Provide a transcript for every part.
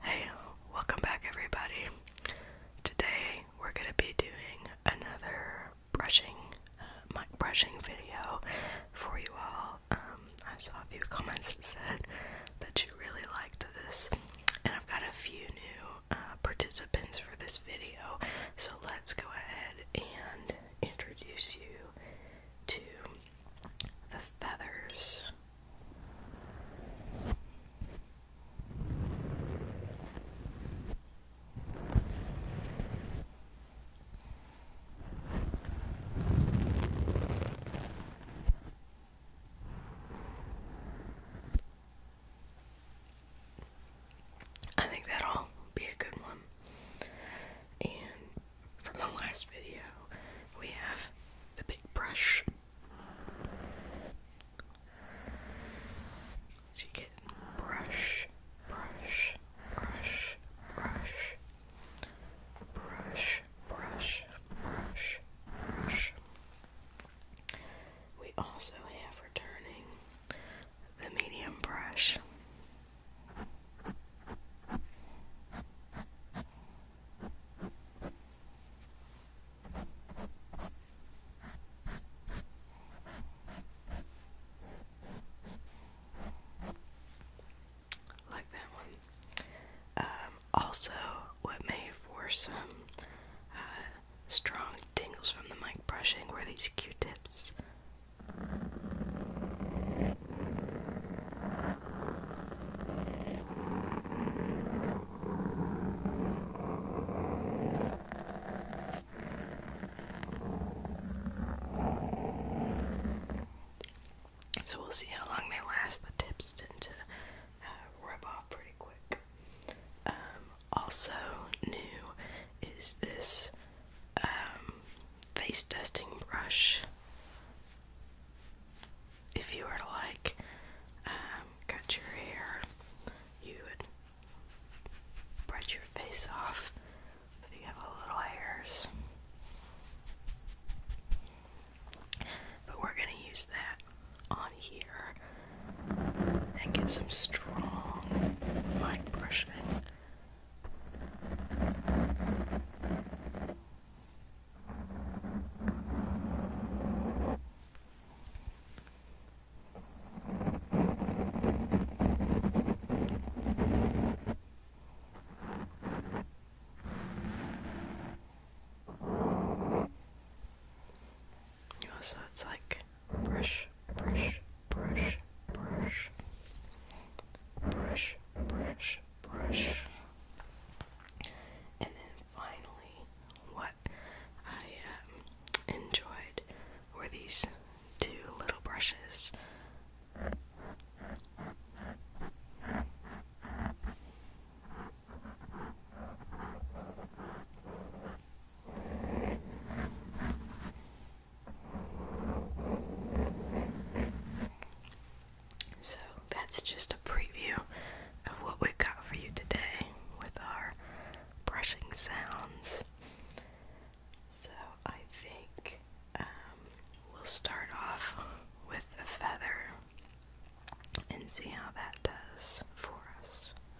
Hey, welcome back, everybody. Today we're gonna be doing another brushing, uh, brushing video for you all. Um, I saw a few comments that said that you really liked this, and I've got a few new uh, participants for this video. So let's go ahead and introduce you to the feathers. I think that'll be a good one. And for my last video, we have the big brush. So you get brush, brush, brush, brush, brush, brush, brush, brush. We also have returning the medium brush. Like that one. Um, also, what made for some uh, strong tingles from the mic brushing were these Q-tips. So we'll see how long they last. The tips tend to uh, rub off pretty quick. Um, also new is this um, face dusting brush. If you were to like um, cut your hair, you would brush your face off if you have little hairs. But we're going to use that on here and get some strong mic brushing. Also, oh, it's like brush, brush, brush, brush, brush, brush, brush. And then finally, what I um, enjoyed were these two little brushes. So that's just a preview of what we've got for you today with our brushing sounds. So I think um, we'll start off with the feather and see how that does for us.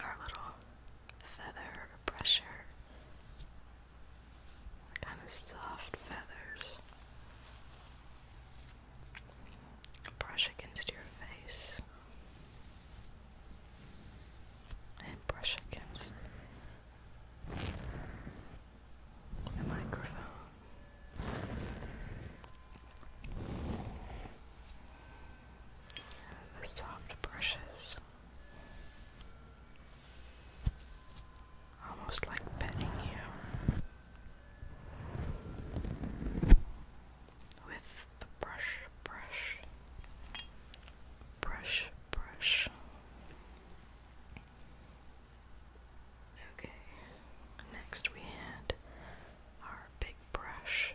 Our little feather brusher kind of soft feathers. Brush against your face and brush against the microphone. The soft brushes Almost like petting you with the brush, brush, brush, brush. Okay, next we had our big brush.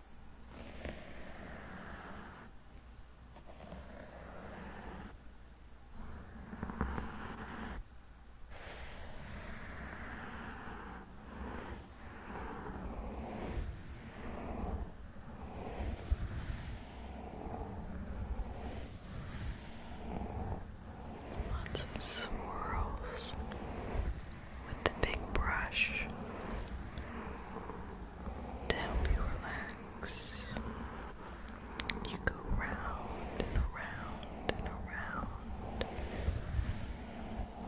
Lots of swirls with the big brush to help you relax. You go round and around and around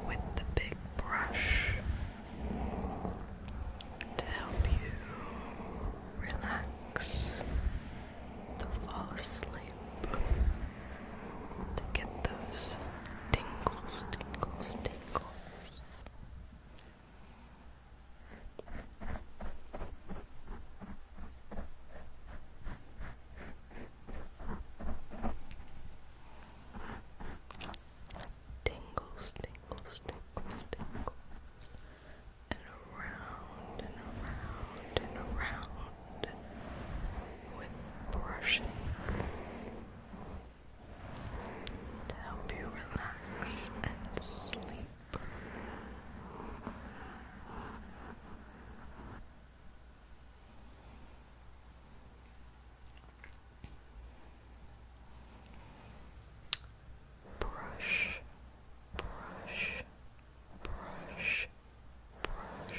with the big brush to help you relax, to fall asleep, to get those tingles, tingles, tingles. Tingles, tingles, tingles, tingles, and around and around and around with brushing to help you relax and sleep. Brush, brush, brush, brush,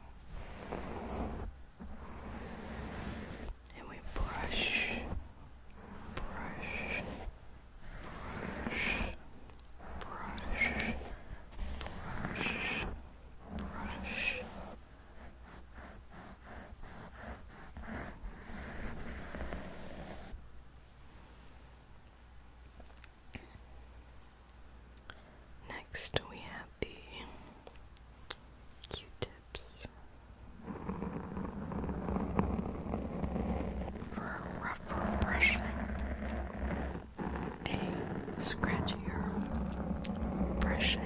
and we brush, brush, brush, brush, brush, brush. Next, we have the Q tips for a rougher brushing, a scratchier brushing.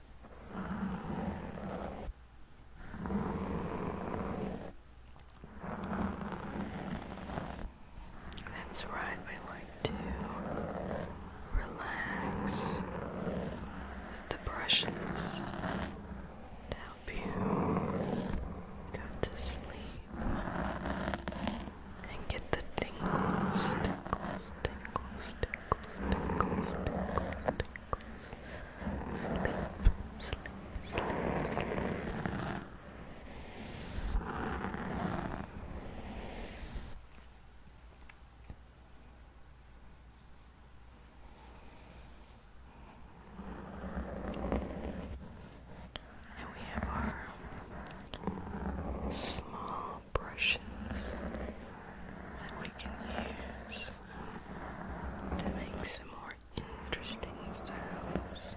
That's right, we like to relax with the brushes to help you go to sleep and get the tingles, tingles, tingles tingles, tingles, tingles, tingles. Sleep, sleep, sleep, sleep. And we have our small more brushes that we can use to make some more interesting sounds.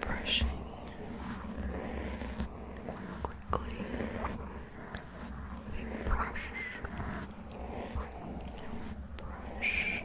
brushing quickly. We brush, brush. Brush,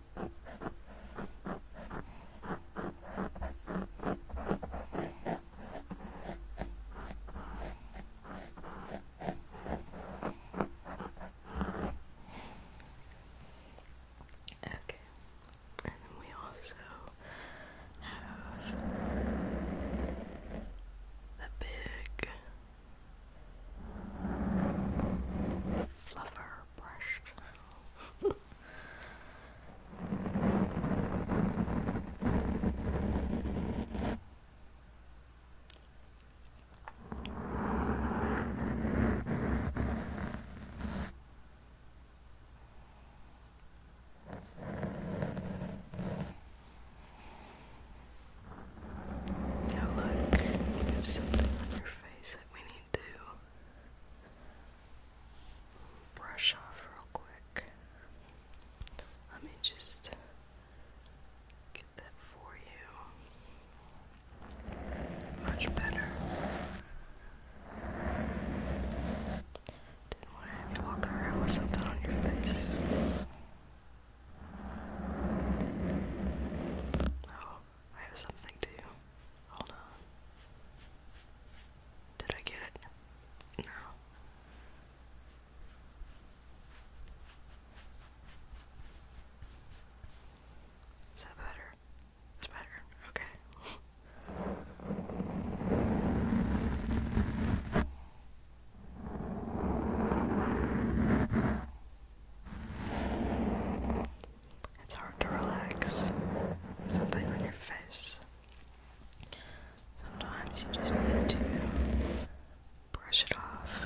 Okay, and we also have the big fluffer brushed. Now look, you have something on your face that we need to brush off real quick. Let me just get that for you. Much better. Didn't want to have you walk around with something on your face. Oh, I have something to you. Hold on. Did I get it? No. Is that better? It's better. Okay. It's hard to relax something on your face. Sometimes you just need to brush it off.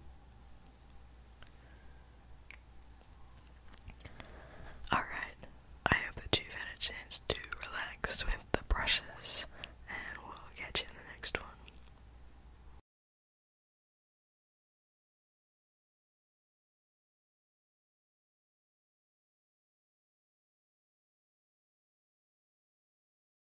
Alright, I hope that you've had a chance to relax with the brushes, and we'll catch you in the next one.